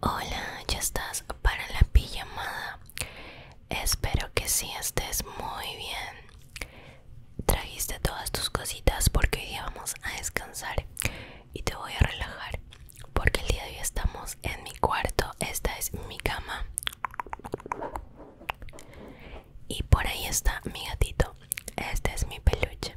Hola, ¿ya estás para la pijamada? Espero que sí estés muy bien. Trajiste todas tus cositas porque hoy día vamos a descansar y te voy a relajar porque el día de hoy estamos en mi cuarto. Esta es mi cama. Y por ahí está mi gatito. Esta es mi peluche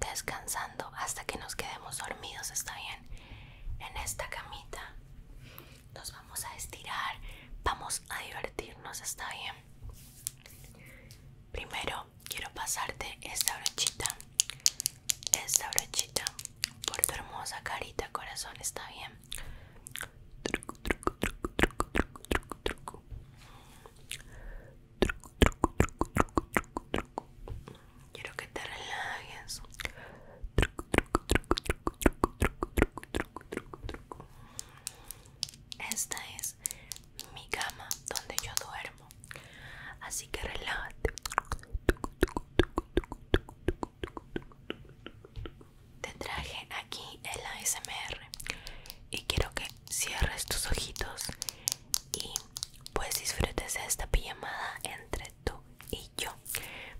descansando hasta que nos quedemos dormidos, está bien. En esta camita nos vamos a estirar, vamos a divertirnos, está bien. Primero quiero pasarte esta brochita, esta brochita por tu hermosa carita, corazón, está bien truco, truco, truco, truco, truco, truco. Quiero que te relajes. Truco, truco, truco, truco, truco, truco, Esta es mi cama donde yo duermo. Así que relájate. Te traje aquí el ASMR y quiero que cierres tus ojitos y pues disfrutes de esta pijamada entre tú y yo.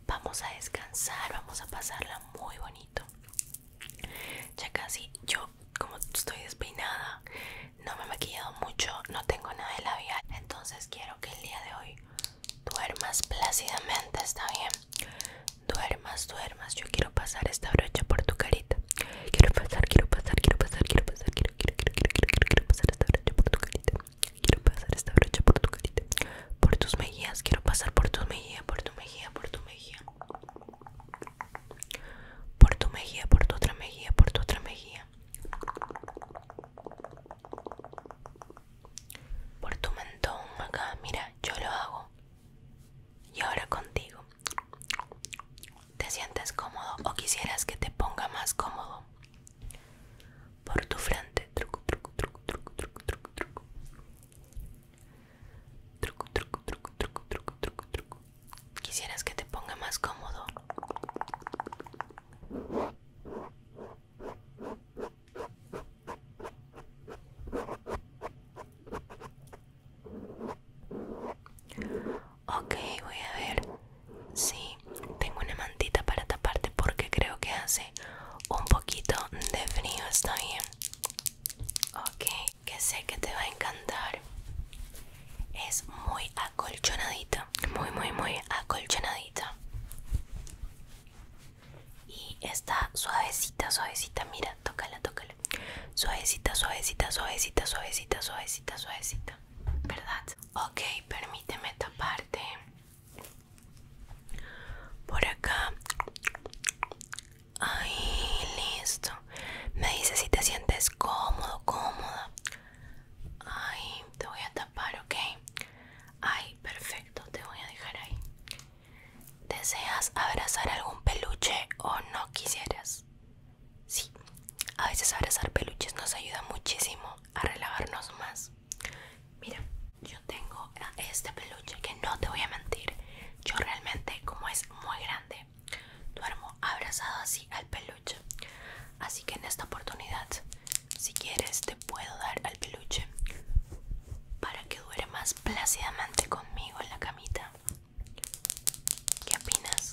Vamos a descansar, vamos a pasarla muy bonito. Ya casi yo como estoy despeinada, no me he maquillado mucho, no tengo nada de labial, entonces quiero que el día de hoy duermas plácidamente, está bien. Duermas, duermas, yo quiero pasar esta brocha por tu carita. Quiero pasar, quiero pasar, quiero pasar, quiero pasar, quiero pasar quiero, pasar esta brocha por tu carita. Quiero pasar esta brocha por tu carita. Por tus mejillas, quiero pasar por tu mejillas por tu mejilla, por tu mejilla. Por tu mejilla, por tu otra mejilla, por tu otra mejilla. Por tu mentón acá, mira, yo lo hago. Y ahora contigo. ¿Te sientes cómodo o quisieras que te ponga más cómodo? Por tu frente. Truco, truco, truco, truco, truco, truco, truco. Truco, truco, truco, truco, truco, truco, truco. ¿Quisieras que te ponga más cómodo? Ok, voy a ver. Sí, tengo una mantita para taparte porque creo que hace un poquito de frío, está bien. Ok, que sé que te va a encantar. Es muy acolchonadita, muy, muy, muy acolchonadita. Y está suavecita, suavecita, mira, tócala, tócala. Suavecita, suavecita, suavecita, suavecita, suavecita, suavecita. ¿verdad? Ok, permíteme taparte por acá. Ahí, listo. Me dice si te sientes cómodo, cómoda. Ahí, te voy a tapar, ok. Ahí, perfecto, te voy a dejar ahí. ¿Deseas abrazar algún peluche o no quisieras? Sí, a veces abrazar peluches nos ayuda muchísimo a relajarnos más. Mira, yo tengo este peluche que no te voy a mentir. Yo realmente, como es muy grande, duermo abrazado así al peluche. Así que en esta oportunidad, si quieres, te puedo dar al peluche para que duermas más plácidamente conmigo en la camita. ¿Qué opinas?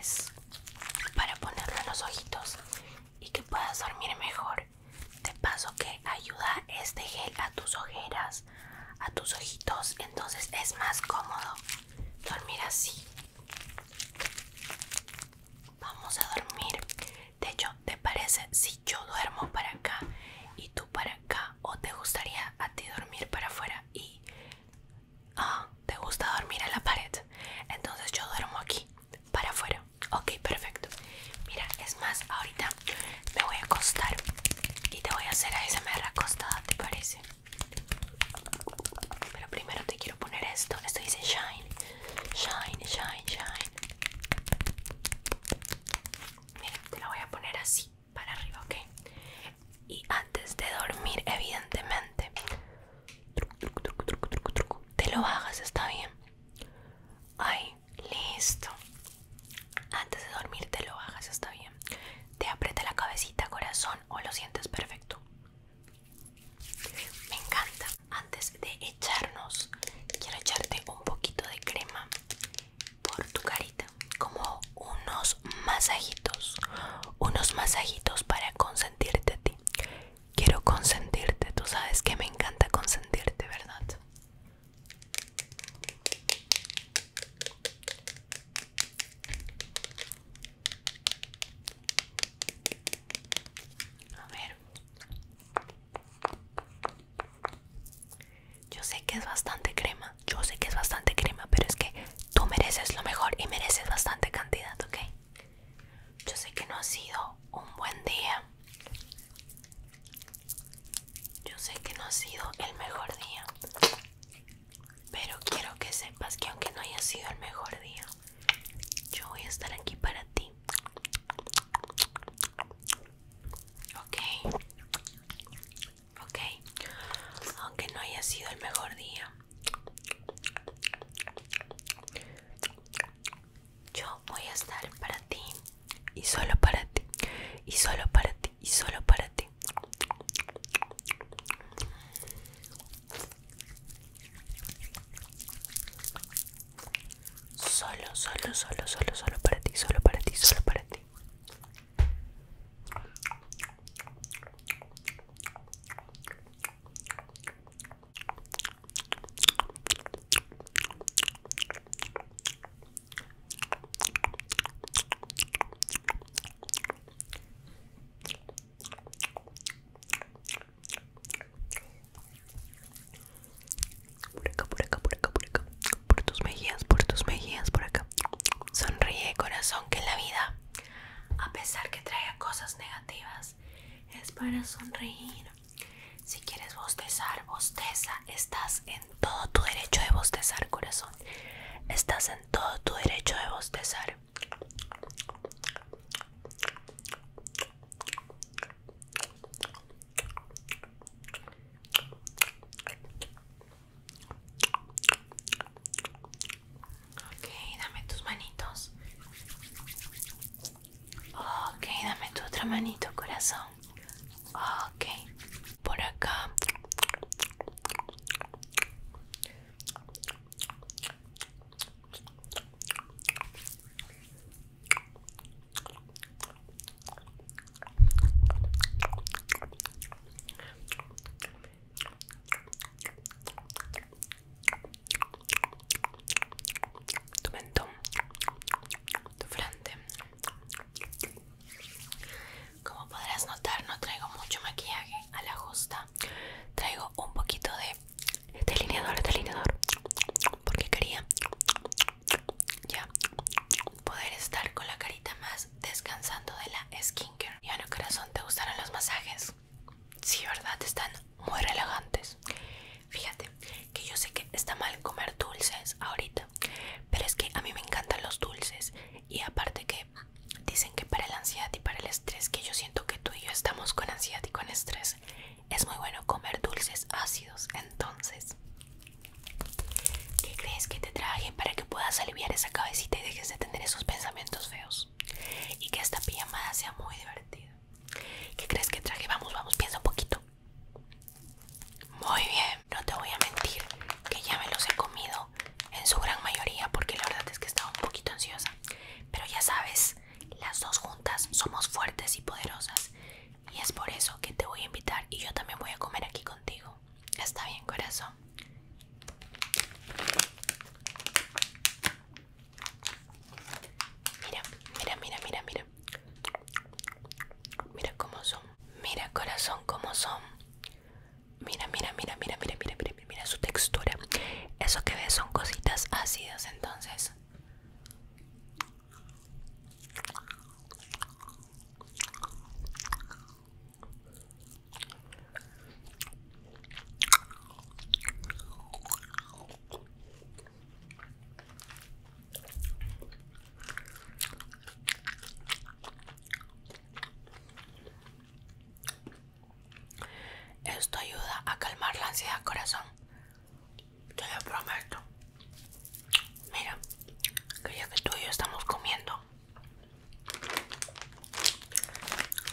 es para ponerlo en los ojitos y que puedas dormir mejor. De paso que ayuda este gel a tus ojeras, a tus ojitos, entonces es más cómodo dormir así. Vamos a dormir. De hecho, ¿te parece si yo duermo para acá y tú para acá? ¿O te gustaría a ti dormir para afuera y Ah, ¿te gusta dormir en la pared? Entonces yo duermo aquí, para afuera. Ok, perfecto. Mira, es más, ahorita me voy a acostar y te voy a hacer mera acostada, ¿te parece? Pero primero te quiero poner esto. Esto dice Shine. Shine, shine, shine. Mira, te lo voy a poner así, para arriba, ¿ok? Y antes de dormir, evidentemente, te lo bajas, está bien. Ay, listo. Antes de dormir te lo bajas, está bien. Te aprieta la cabecita, corazón, o lo sientes perfecto. Me encanta. Antes de echarnos, quiero echarte un poquito de crema por tu carita, como unos masajitos, unos masajitos para concentrar consentirte a ti. Quiero consentirte. Tú sabes que me encanta consentirte, ¿verdad? A ver. Yo sé que es bastante crema, yo sé que es bastante crema, pero es que Tú mereces lo mejor y mereces bastante cantidad, ¿ok? Yo sé que no ha sido un buen día. Yo sé que no ha sido el mejor día. Pero quiero que sepas que aunque no haya sido el mejor día, yo voy a estar aquí para ti. Ok. Ok. Aunque no haya sido el mejor día, yo voy a estar para ti y solo para ti y solo para ti y solo para ti. Solo, solo, solo, solo, solo para ti, solo para ti, solo para ti. Por acá, por acá, por acá, por acá. Por tus mejillas, por tus mejillas, por acá. Sonríe, corazón, que la vida a pesar que traiga cosas negativas, es para sonreír. Si quieres bostezar, bosteza. Estás en todo tu derecho de bostezar, corazón. Estás en todo tu derecho de bostezar. Okay, dame tus manitos. Okay, dame tu otra manito, corazón. Ok, por acá tu mentón, tu frente. Como podrás notar, no traigo mucho maquillaje a la justa. Traigo un poquito de delineador, delineador, porque quería ya poder estar con la carita más descansando de la skincare. Y bueno, corazón, ¿te gustaron los masajes? Sí, verdad, están muy relajantes. Fíjate que yo sé que está mal comer dulces ahorita, pero es que a mí me encantan los dulces y aparte que dicen que para la ansiedad y para el estrés, que yo siento que tú y yo estamos con ansiedad y con estrés, es muy bueno comer dulces ácidos. Entonces, ¿qué crees que te traje para que puedas aliviar esa cabecita y dejes de tener esos pensamientos feos? y que esta pijamada sea muy divertida. ¿Qué crees que traje? Vamos, vamos, piensa un poquito. Muy bien, no te voy a mentir que ya me los he comido en su gran mayoría porque la verdad es que estaba un poquito ansiosa. Pero ya sabes, las dos juntas somos fuertes y poderosas y es por eso que te voy a invitar y yo también voy a comer aquí contigo. Está bien, corazón. Mira, mira, mira, mira, mira. Mira cómo son. Mira corazón cómo son. Mira, mira, mira, mira, mira, mira, mira, mira, mira su textura. Eso que ves son cositas ácidas, entonces. Esto ayuda a calmar la ansiedad, corazón. Te lo prometo. Mira, que que tú y yo estamos comiendo,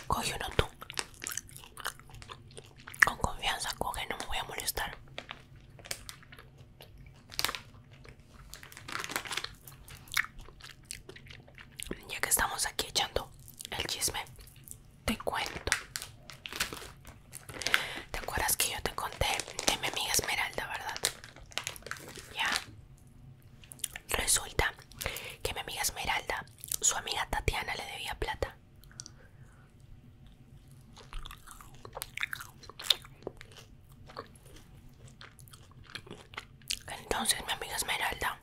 coge uno tú con confianza coge, no me voy a molestar. Ya que estamos aquí echando el chisme, te cuento. ¿Te acuerdas que yo te conté de mi amiga Esmeralda, verdad? Ya. Resulta que mi amiga Esmeralda su amiga Tatiana le debía plata. Entonces mi amiga Esmeralda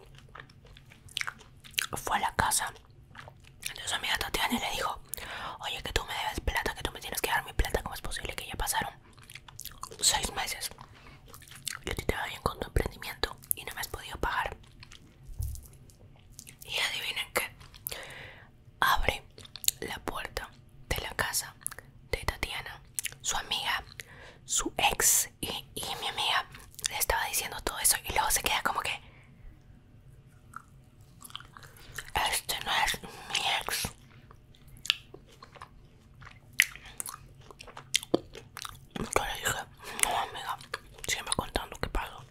fue a la casa de su amiga Tatiana le dijo, oye que tú me debes plata, que tú me tienes que dar mi plata, ¿cómo es posible que ya pasaron seis meses? Yo te vas bien con tu emprendimiento y no me has podido pagar. Y adivinen que Abre la puerta de la casa de Tatiana. Su amiga, su ex y, y mi amiga le estaba diciendo todo eso y luego se queda como que... Este no es mi ex. Yo le dije, no amiga, siempre contando qué pasó.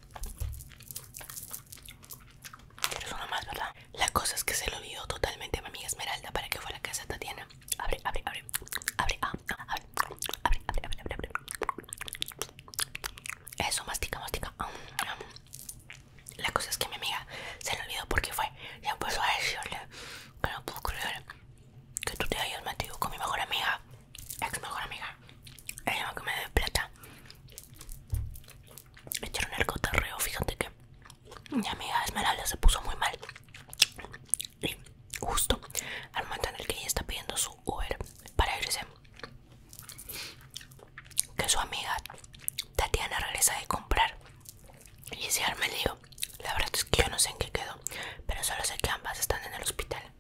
es una más, ¿verdad? La cosa es que se lo olvidó totalmente a mi amiga Esmeralda para que fuera a la casa de Tatiana. Abre, abre, ah, ah, abre. Abre, abre, abre, abre, abre, Eso, mastica, mastica. La cosa es que mi amiga se lo olvidó porque fue y empezó a decirle que no puedo creer que tú te hayas metido con mi mejor amiga ex mejor amiga, ella que me dé plata. Me echaron el cotarreo, fíjate que mi amiga Esmeralda se puso muy mal. Y justo al momento en el que ella está pidiendo su Uber para irse, que su amiga Tatiana regresa de comprar. Y si arma el lío, la verdad es que yo no sé en qué quedó, pero solo sé que ambas están en el hospital.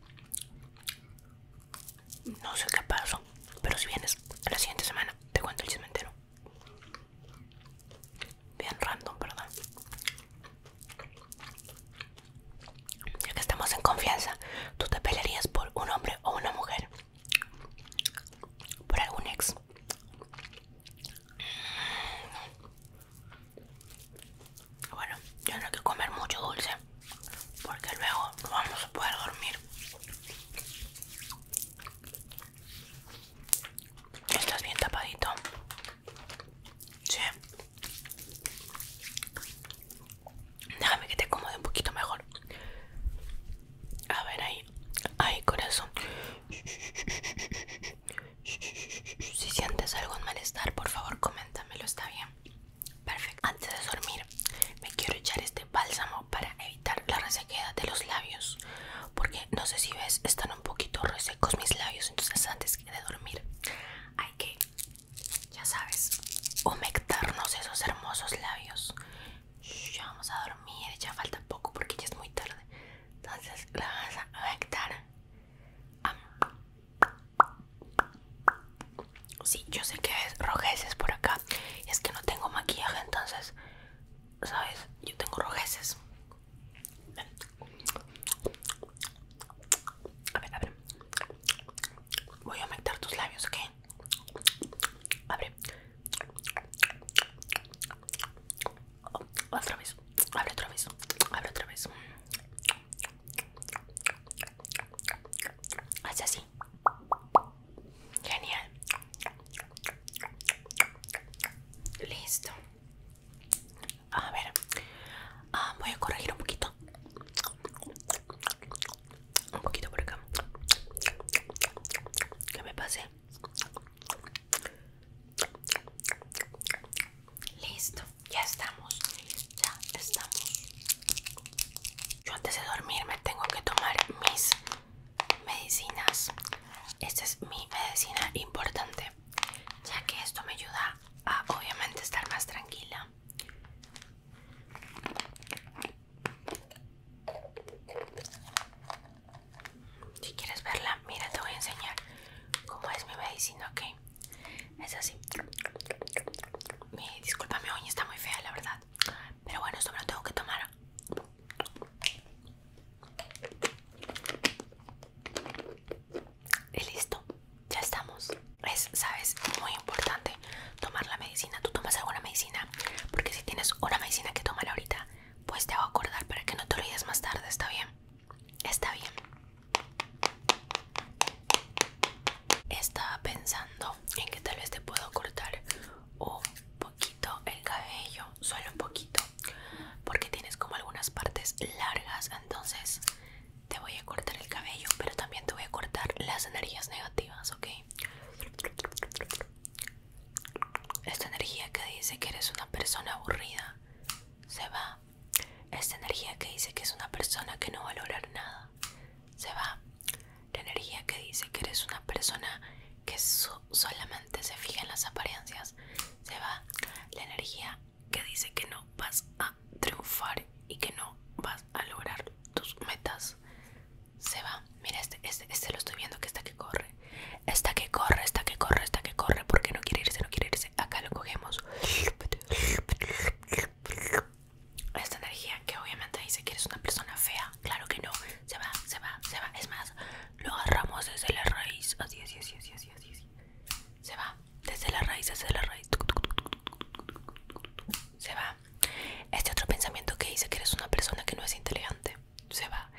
No sé qué pasó, pero si vienes la siguiente semana te cuento el cementero Bien random, ¿verdad? Ya que estamos en confianza, ¿tú te pelearías por un hombre o una mujer? ¿Por algún ex? Bueno, yo no quiero que comer mucho dulce porque luego no vamos a poder dormir. Estás bien tapadito. Sí. Déjame que te acomode un poquito mejor. A ver ahí. Ahí, corazón. Si sientes algún malestar, por favor, coméntamelo, está bien. Perfecto. Antes de dormir, me quiero echar este bálsamo para evitar la resequedad de los labios. Porque no sé si ves, están un poquito resecos mis labios. Entonces, antes de dormir, hay que, ya sabes, humectarnos esos hermosos labios. Ya vamos a dormir, ya falta poco porque ya es muy tarde. Entonces, la vamos a humectar. Sí, yo sé que es rojeces por acá. Es que no tengo maquillaje, entonces, ¿sabes? Yo tengo rojeces. A ver, abre. Voy a humectar tus labios, ¿ok? Abre. Otra vez. Abre otra vez. Abre otra vez. Haz así. Genial. Listo. A ver. Ah, voy a corregir un poquito. Un poquito por acá. Que me pase. Listo, ya estamos. Ya estamos. Yo antes de dormir me tengo que tomar mis medicinas. Esta es mi medicina importante, ya que esto me ayuda a obviamente estar más tranquila. Si quieres verla, mira, te voy a enseñar cómo es mi medicina, ¿ok? Es así. Mi, disculpa, mi está muy fea, la verdad. Pero bueno, esto todo lo tengo que tomar. Y listo, ya estamos. Es, sabes, muy importante tomar la medicina. Tú tomas alguna medicina, porque si tienes una medicina que tomar ahorita, pues te hago acordar para que no te olvides más tarde, ¿está bien? Está bien. Estaba pensando en que tal vez te puedo cortar un poquito el cabello, solo un poquito, porque tienes como algunas partes largas, entonces te voy a cortar el cabello, pero también te voy a cortar las energías negativas, ¿ok? Esta energía que dice que eres una persona aburrida se va esta energía que dice que es una persona que no va a lograr nada, se va. La energía que dice que eres una persona que solamente se fija en las apariencias, se va. La energía que dice que no vas a triunfar y que no vas a lograr tus metas, se va. Mira, este, este, este lo estoy viendo que está que corre. Esta que corre, esta que corre, esta que corre, porque no quiere irse, no quiere irse. Acá lo cogemos. Esta energía que obviamente dice que eres una persona fea, claro que no, se va, se va, se va. Es más, lo agarramos desde la raíz, así, así, así, así, así, así. Se va, desde la raíz, desde la raíz. Se va. Este otro pensamiento que dice que eres una persona que no es inteligente, se va.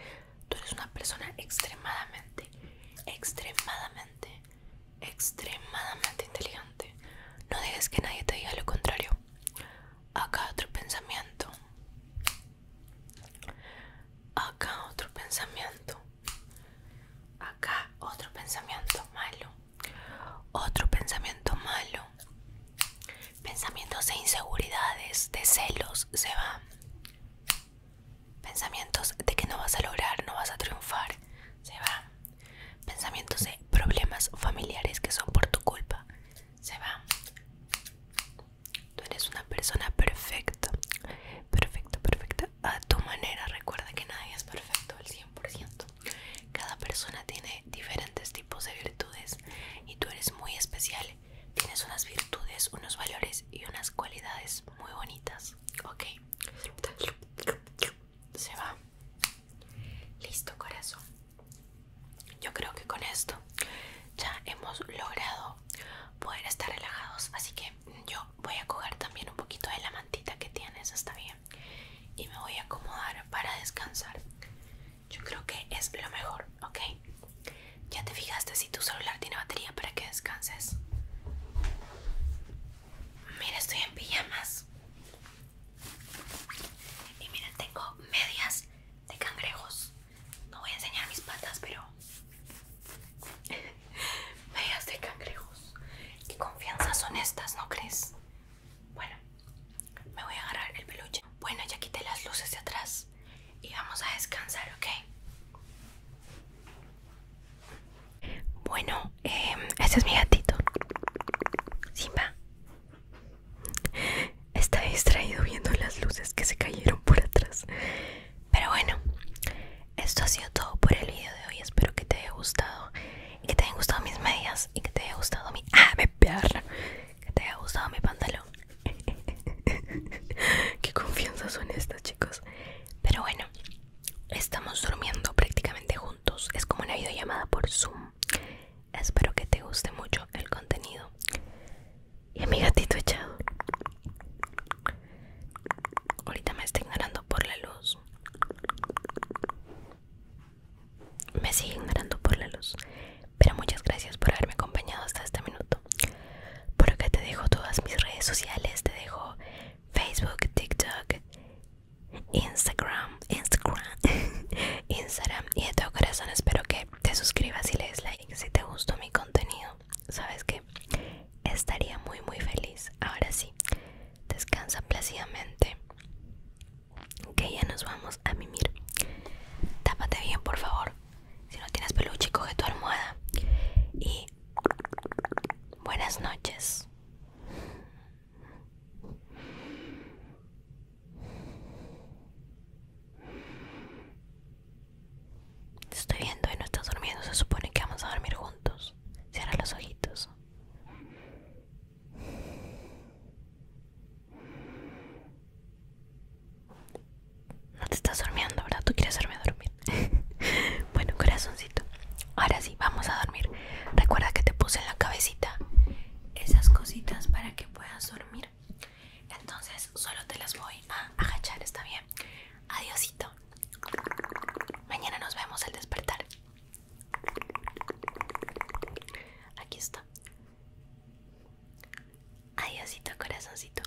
Tú eres una persona extremadamente, extremadamente extremadamente inteligente. No dejes que nadie te diga lo contrario. Acá otro pensamiento. Acá otro pensamiento. Acá otro pensamiento malo. Otro pensamiento malo. Pensamientos de inseguridades, de celos, se van. Pensamientos de que no vas a lograr, no vas a triunfar, se van. Pensamientos de problemas familiares que son por tu culpa. Se va. Tú eres una persona perfecta. Perfecta, perfecta. A tu manera. Recuerda que nadie es perfecto al 100%. Cada persona tiene diferentes tipos de virtudes y tú eres muy especial. Tienes unas virtudes, unos valores y unas cualidades muy bonitas. Ok se va. Listo, corazón. Yo creo que con esto ya hemos logrado poder estar relajados. Así que yo voy a coger también un poquito de la mantita que tienes, está bien. Y me voy a acomodar para descansar. Yo creo que es lo mejor, ¿ok? ¿Ya te fijaste si tu celular tiene batería para que descanses? Mira, estoy en pijamas. Y mira, tengo medias de cangrejos. No voy a enseñar mis patas, pero... medias de cangrejos. ¿Qué confianzas son estas, no crees? Bueno, me voy a agarrar el peluche. Bueno, ya quité las luces de atrás y vamos a descansar, ¿ok? Bueno, este es mi gatito. Simba. Está distraído viendo las luces que se cayeron por atrás. Pero bueno, esto ha sido todo por el video de hoy. Espero que te haya gustado. Y que te hayan gustado mis medias. Y que te haya gustado mi... ¡Ah, me perra! Que te haya gustado mi pantalón. Qué confianza son estas, chicos. Pero bueno. Estamos durmiendo prácticamente juntos. Es como una videollamada por Zoom. Espero que te guste mucho el contenido. Y mi gatito echado. Ahorita me está ignorando por la luz. Me sigue ignorando por la luz. Pero muchas gracias por haberme acompañado hasta este minuto. Por acá te dejo todas mis redes sociales. Te dejo Facebook, TikTok, Instagram, Instagram, Instagram y de todo corazón espero que te suscribas y le des like si te gustó mi contenido. Sabes que estaría muy muy feliz. Ahora sí, descansa plácidamente. Que ya nos vamos a mimir. Tápate bien, por favor. Si no tienes peluche, coge tu almohada. Y buenas noches. Te estoy viendo y no estás durmiendo. Se supone que vamos a dormir juntos. Cierra los ojitos. No te estás durmiendo, ¿verdad? Tú quieres hacerme dormir. bueno, corazoncito. Ahora sí vamos a dormir. Recuerda que te puse en la cabecita esas cositas para que puedas dormir. Entonces solo te las voy a agachar, ¿está bien? Adiosito. Mañana nos vemos al despertar. Aquí está. Adiosito, corazoncito.